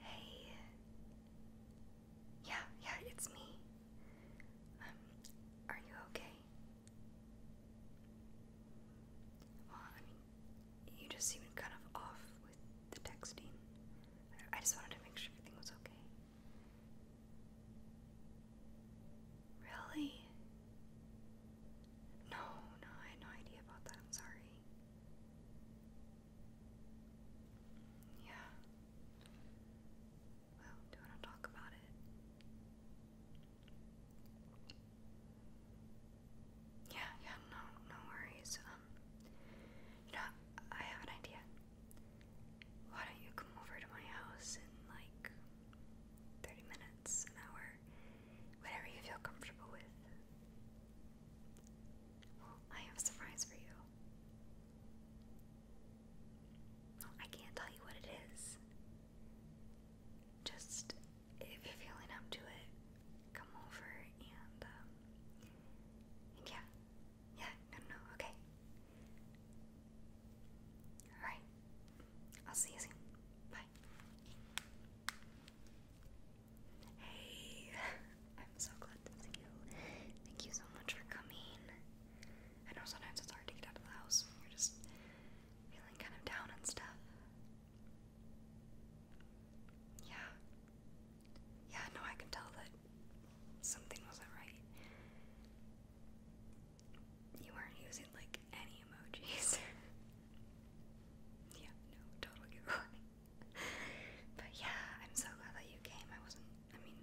Hey. Yeah, yeah, it's me. Um, are you okay? Well, I mean, you just seemed kind of off with the texting. I just wanted to make sure everything was okay. Really? No, no, I had no idea about that. I'm sorry. Yeah. Well, do you want to talk about it? Yeah, yeah, no, no worries. Um, you I have an idea why don't you come over to my house in like 30 minutes, an hour, whatever you feel comfortable with? I have a surprise for you. I can't tell you what it is. Just if you're feeling up to it, come over and um, yeah. Yeah, no, no okay. Alright, I'll see you soon. Bye. Hey, I'm so glad to see you. Thank you so much for coming. I know sometimes it's hard to get out of the house you're just feeling kind of down and stuff. Yeah. Yeah, no, I can tell that something wasn't right you weren't using like any emojis. yeah, no, total but yeah, I'm so glad that you came. I wasn't, I mean,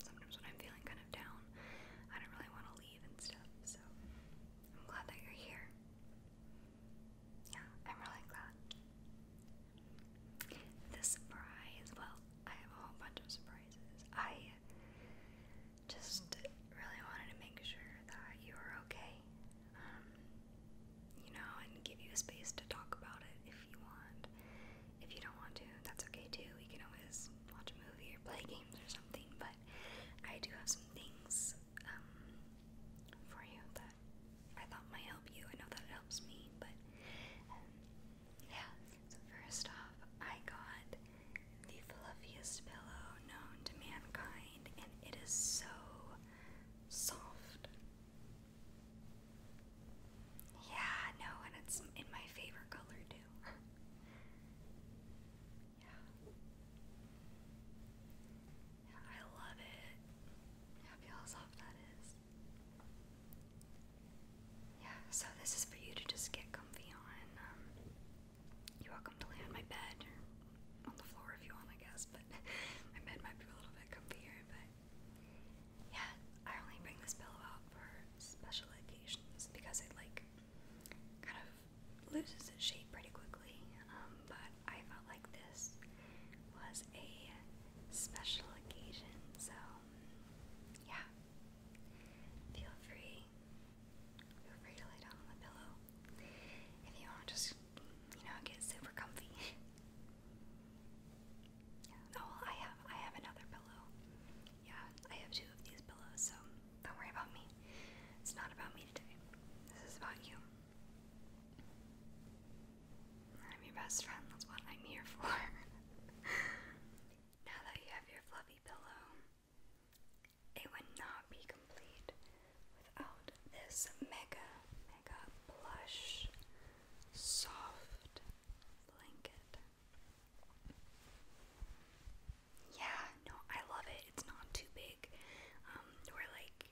sometimes when I'm feeling kind of down, I don't really want to leave and stuff, so I'm glad that you're here. Yeah, I'm really glad. This surprise, well, I have a whole bunch of surprises. I I just really wanted to make sure that you were okay. Um, you know, and give you a space to talk about it if you want. If you don't want to, that's okay too. We can always watch a movie or play games or something, but I do have some things um, for you that I thought might help you. I know that it helps me, but um, yeah. So first off, I got the fluffiest pillow known to mankind, and it is so soft. Yeah, no, and it's in my favorite color too. yeah. yeah, I love it. How yeah, that is. Yeah, so this is for you to just get comfy on. Um, you're welcome to lay on my bed or on the floor if you want, I guess, but my bed might be a little bit comfier, but yeah, I only bring this pillow out for special occasions because it like kind of loses its shape pretty quickly. Um, but I felt like this was a special occasion, so yeah, Feel free. Feel free to lay down on the pillow. If you want, just, you know, get super comfy. Oh, I have, I have another pillow. Yeah, I have two of these pillows, so don't worry about me. It's not about me today. This is about you. I'm your best friend. That's what I'm here for. Now that you have your fluffy pillow, it would not be complete without this mega, mega plush, soft blanket. Yeah, no, I love it. It's not too big. Um, where like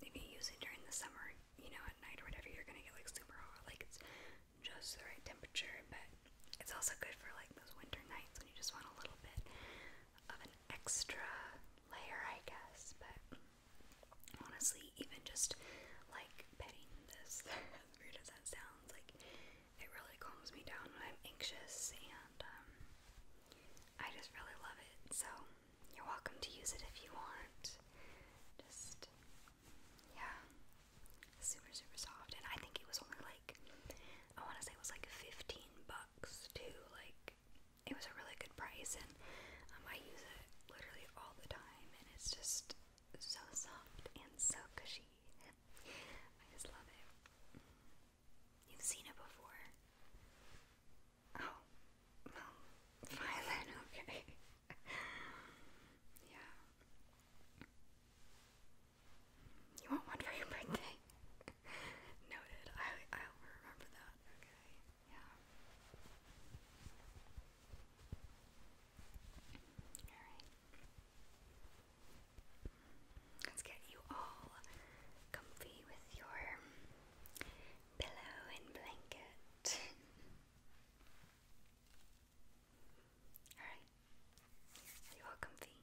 if you use it during the summer, you know, at night or whatever, you're gonna get like super hot. Like it's just the right temperature, but it's also good for like those winter nights when you just want a little bit of an extra layer, I guess. But honestly, even just like petting this, weird as that sounds, like it really calms me down when I'm anxious, and um, I just really love it. So, you're welcome to use it if you want. Just yeah. Super, super soft. And I think it was only like, I want to say it was like 15 bucks too. Like, it was a really good price. And um, I use it literally all the time. And it's just so soft and so cushy. I just love it. You've seen it before. Oh, well, fine then, okay yeah. You want one for your birthday? Noted. I i remember that. Okay. Yeah. Alright. Let's get you all comfy with your pillow and blanket. Alright. Are you all comfy?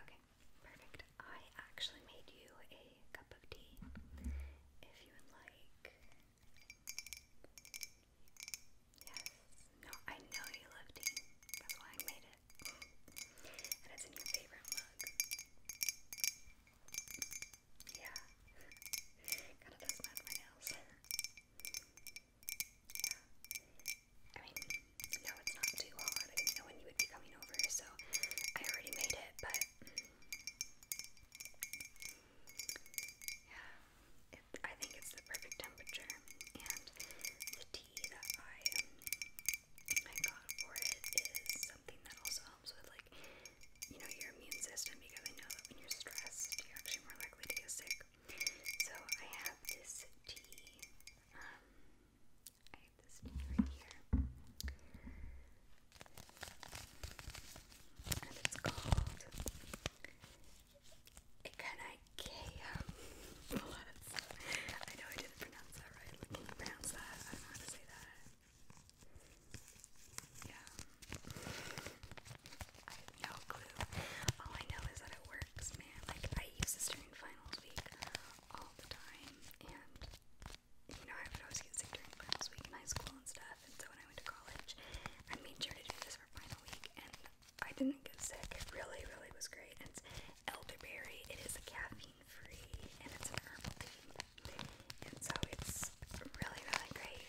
okay, perfect. I actually made you a cup of tea. If you would like. Yes. No, I know you love tea. That's why I made it. And it's in your favorite mug. Yeah. Gotta dust my nails. Yeah. I mean, no, it's not too hard. I didn't know when you would be coming over, so I already made it, but. Yeah, I think it's the perfect temperature, and the tea that I, I got for it is something that also helps with like you know, your immune system because I know that when you're stressed, you're actually more likely to get sick. So I have this tea. Um, I have this tea right here. And it's called Ikanaikea I know I didn't pronounce that right. Like, can pronounce that. Yeah. I have no clue. All I know is that it works, man. Like, I use this during finals week all the time, and you know, I would always get sick during finals week in high school and stuff, and so when I went to college, I made sure to do this for finals week, and I didn't get sick. It really, really was great. And it's elderberry, it is a caffeine free, and it's a herbal tea. And so it's really, really great.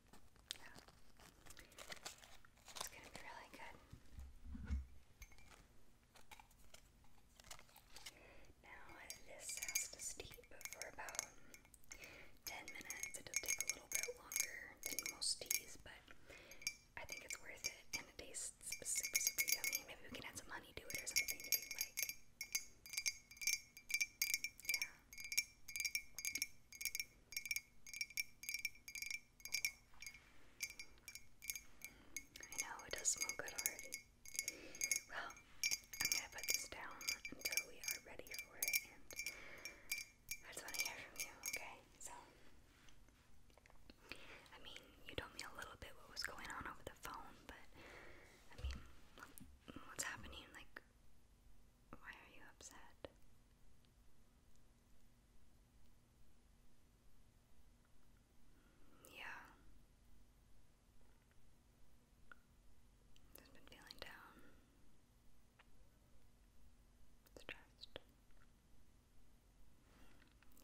Yeah. It's gonna be really good. Now this has to steep for about 10 minutes. It'll take a little bit longer than most teas, but I think it's worth it and it tastes super super yummy. Maybe we can add some honey to it or something if you like. I know it does smell good already. Well, I'm gonna put this down until we are ready for it, and I just want to hear from you, okay? So, I mean, you told me a little bit what was going on over the phone, but I mean, what's happening? Like, why are you upset? Yeah. Just been feeling down. Stressed.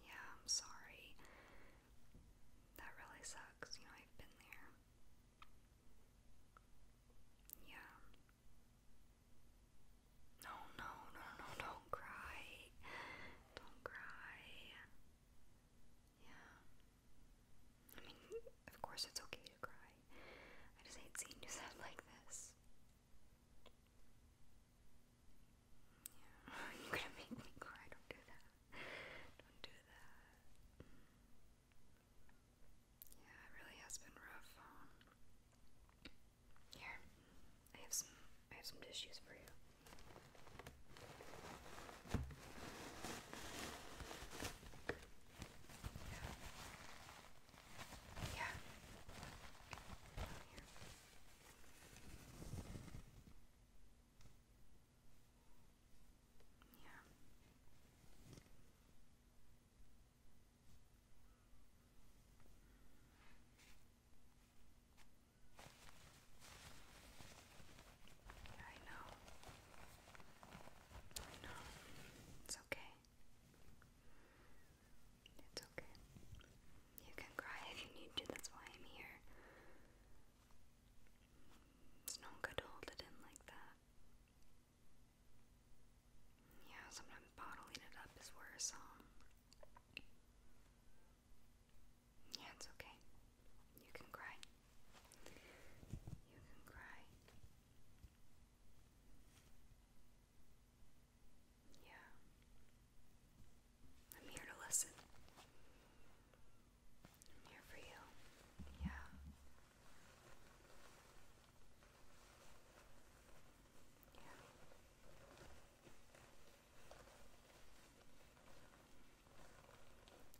Yeah, I'm sorry. That really sucks. You know, I've been there. Yeah. No, no, no, no, don't cry. Don't cry. Yeah. I mean, of course it's okay to cry. I just hate seeing you sad like this. Yeah. You're gonna make me cry. Don't do that. Don't do that. Yeah, it really has been rough. here, I have some. I have some tissues for you. Yeah. Yeah. I know. I know. It's okay. It's okay. You can cry if you need to, that's why I'm here. It's not good to hold it in like that. Yeah, sometimes bottling it up is worse, um. Yeah, it's okay. You can cry. You can cry. Yeah. I'm here to listen. I'm here for you. Yeah. Yeah.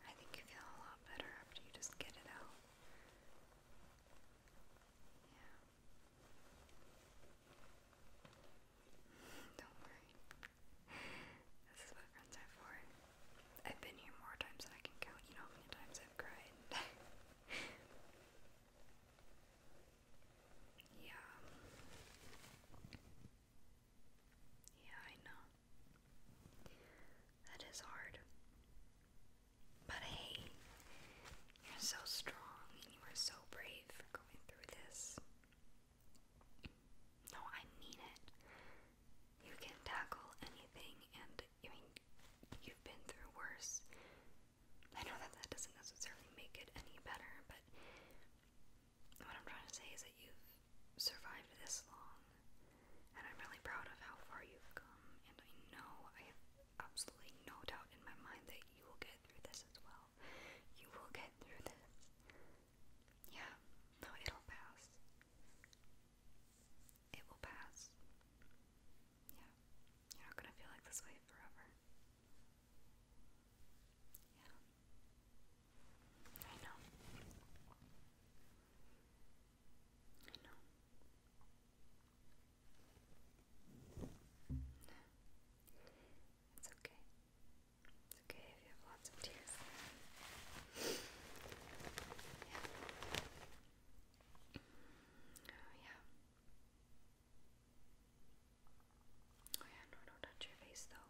I think you feel a lot better after you just get it out. Yeah. Don't worry. This is what friends are for. I've been here more times than I can count. You know how many times I've cried. yeah. Yeah, I know. That is hard. But hey, you're so strong and you are so brave for going through this. No, I mean it. You can tackle anything and bad. I mean, you've been through worse. I know that that doesn't necessarily make it any better, but what I'm trying to say is that you've survived this long, and I'm really proud of how far you've come. And I know, I have absolutely no doubt in my mind that you will get through this as well. You will get through this. Yeah, no, it'll pass it will pass. Yeah, you're not gonna feel like this way forever. Yeah, I know. I know. It's okay. It's okay if you have lots of tears. Oh, yeah. Oh, yeah, don't touch your face though.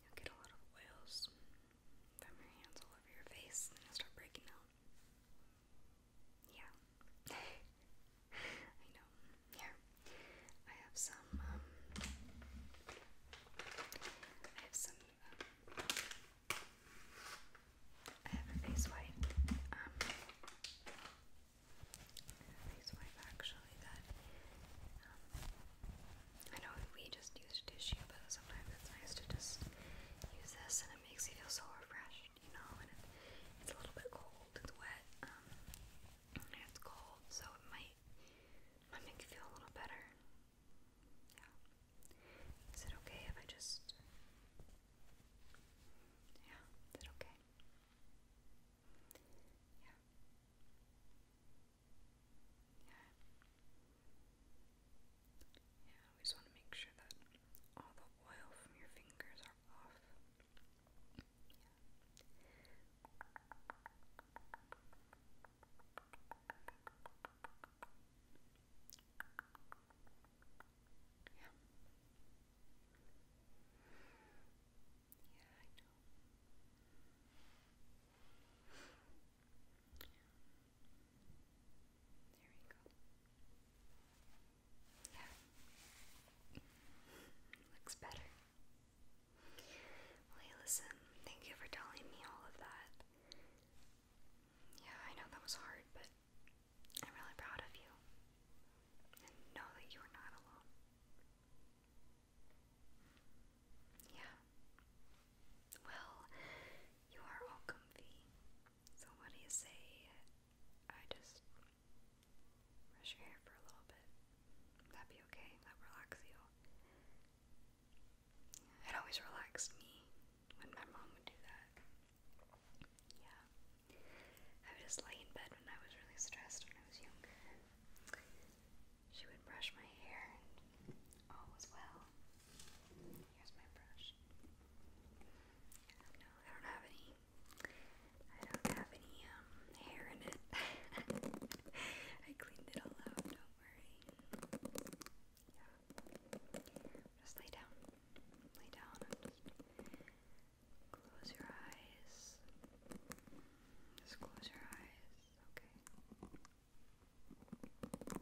You'll get a lot of oils from your hands all over your face and start breaking out. Yeah. I know. Here. I have some, um, I have some I have a face wipe. Um, face wipe actually that um, I know we just use tissue, but sometimes it's nice to just use this, and it makes you feel so refreshed, you know. And it's a little bit cold, it's wet, um, it's cold, so it might might make you feel a little better. Yeah. Is it okay if I just. Yeah, is it okay? Yeah. Yeah. Yeah, we just want to make sure that all the oil from your fingers are off. Yeah. Yeah. I know. There we go. Yeah. Looks better. hey, listen, thank you for telling me all of that. Yeah, I know that was hard, but I'm really proud of you. And know that you are not alone. Yeah. Well, you are all comfy. So, what do you say? I just brush your hair for a little bit. that be okay? That relax you. It always relaxed me when my mom would do that. Yeah. I would just lay in bed when I was really stressed when I was younger. She would brush my hair and all was well. Here's my brush. No, I don't have any. I don't have any um hair in it. I cleaned it all out, don't worry. Just lay down. Lay down close your eyes. Just close your eyes.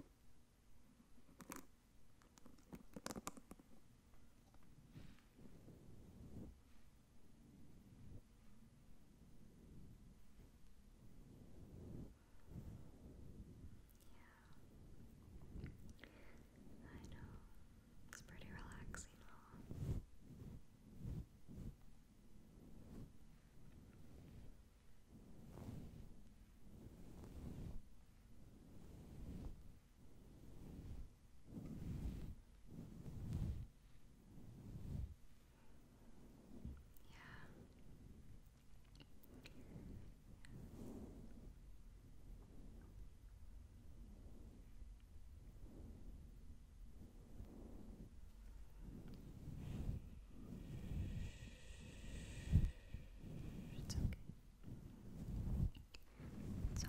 Okay. Yeah. I know. It's pretty relaxing, yeah. It's okay. It's okay.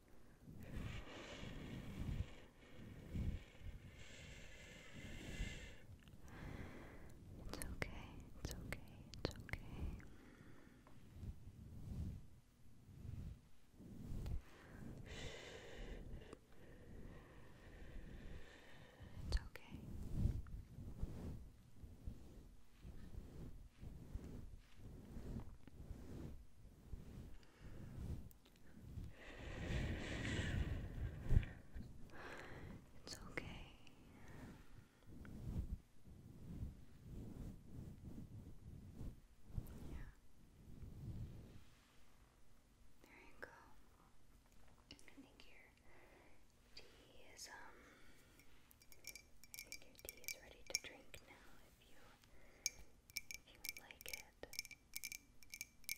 It's okay, it's okay, it's okay. It's okay. okay. It's okay. Yeah. There you go. I think your tea is um I think your tea is ready to drink now if you he like it. Hmm.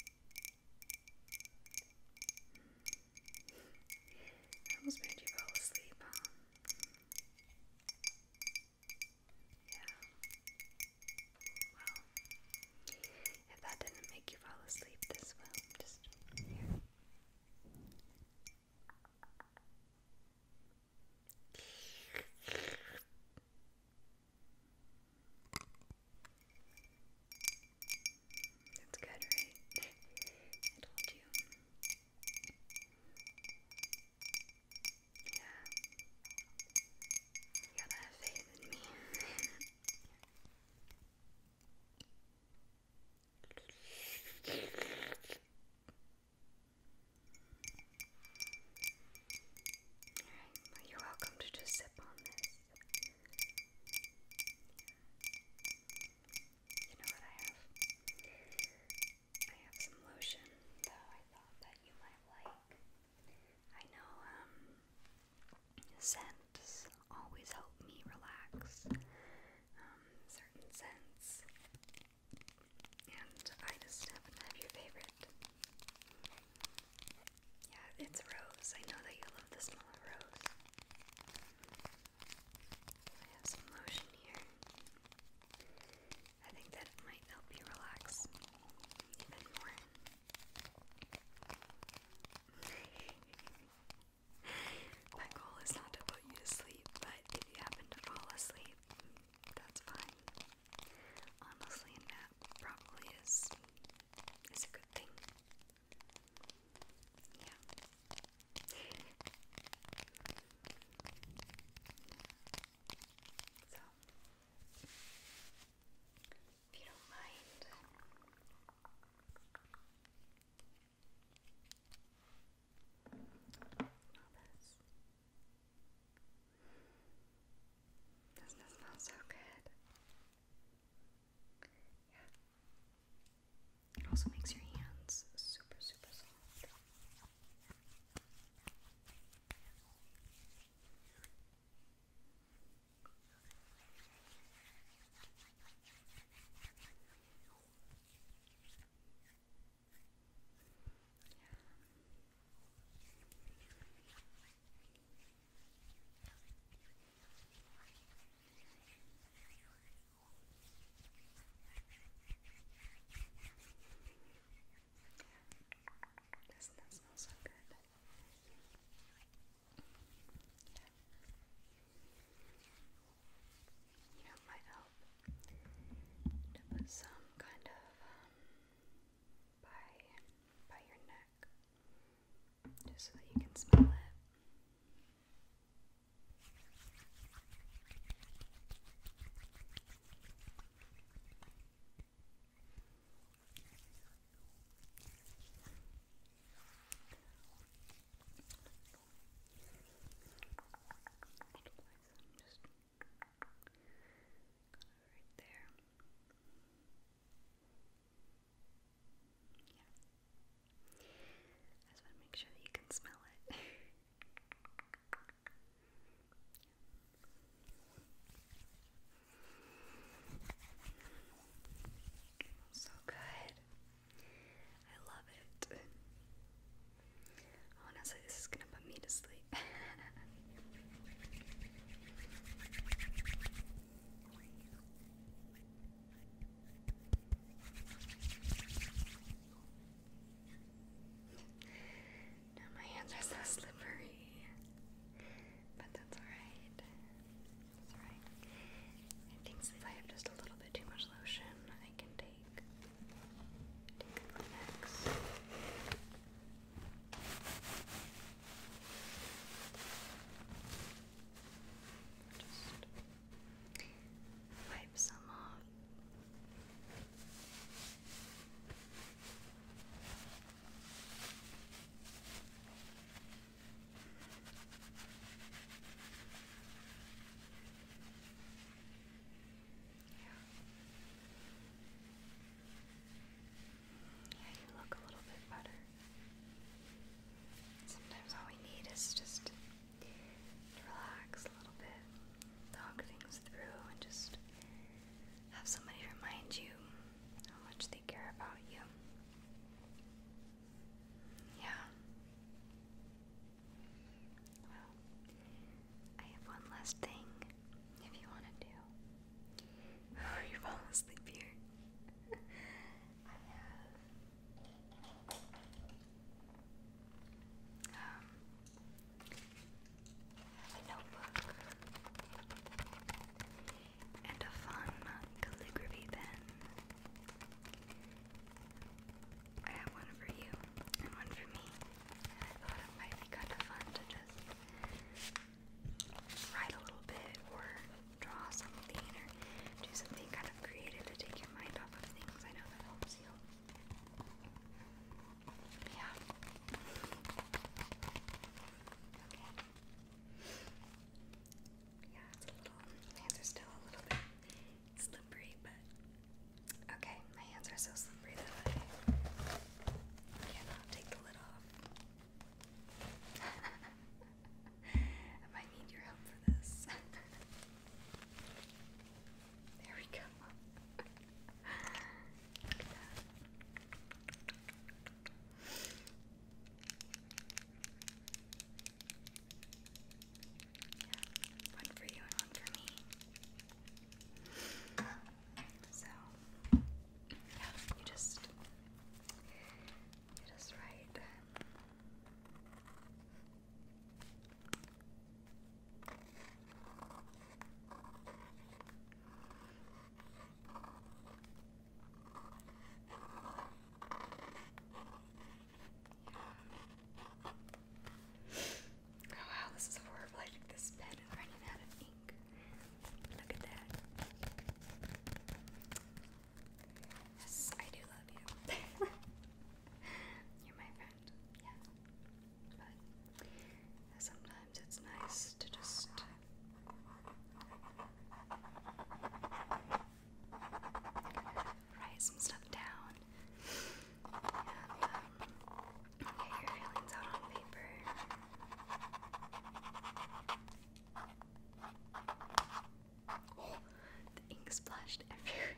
I almost made you fall asleep, Yeah. Well, if that didn't make you fall asleep, this will. Just here. That's good, right? I told you. Yeah. You gotta have faith in me. you're welcome to just sip on this. You know what I have? I have some lotion that I thought that you might like. I know, um, scents always help me relax. Um, certain scents and I just happen to have your favorite. Yeah, it's Rose. I know that you love the smell of Rose. I have some lotion here. I think that might help you relax even more. My goal is not to put you to sleep, but if you happen to fall asleep, that's fine. Honestly, a probably is is a good thing. Yeah. so, if you don't mind. Doesn't it smell so good? Yeah. It also makes your hands super, super soft. Doesn't that smell so good? You might help to some kind of um, by by your neck, just so you can smell it right there. Yeah. I just want to make sure that you can smell it. yeah. So good. I love it. Honestly, this is gonna put me to sleep. my hands are so slippery. But That's alright. I think since I have just a little bit too much lotion, I can take take. Take the next. Just wipe some off. Okay. Yeah. Yeah, you look a little bit better. Sometimes all we need is just to relax a little bit, talk things through, and just have somebody remind you how much they care about you. Yeah. I have one last thing if you want to do before you fall asleep here. I have um, a notebook and a fun calligraphy pen. I have one for you and one for me. And I thought it might be kind of fun to just write a little bit or draw something or do something kind of creative to take your mind off of things. I know that helps you. Yeah. Okay. Yeah, it's a little. My hands are still a little bit slippery, but okay, my hands are so slippery that I cannot take the lid off. I might need your help for this. there we go one for you and one for me. So, yeah, you just, you just write. Oh wow, this is horrible. I think this pen running out of ink. Look at that. Yes, I do love you. You're my friend, yeah. But sometimes it's nice to just write some stuff down. get your feelings out on paper. the ink splashed everywhere.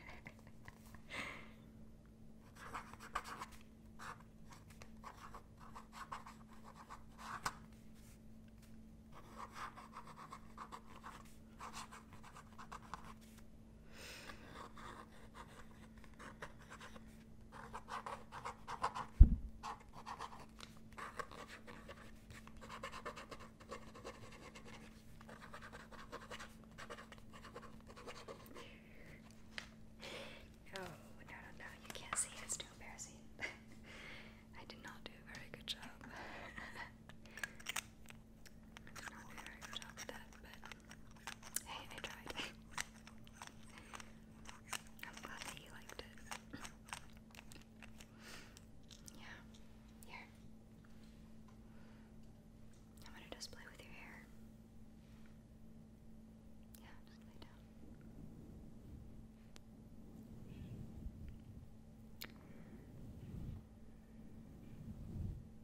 No, oh, no, no, no, you can't see, it's too embarrassing. I did not do a very good job. I'm not very good at that, but hey, I tried. I'm glad that you liked it. yeah, here. I'm gonna just play with your hair. Yeah, just lay down.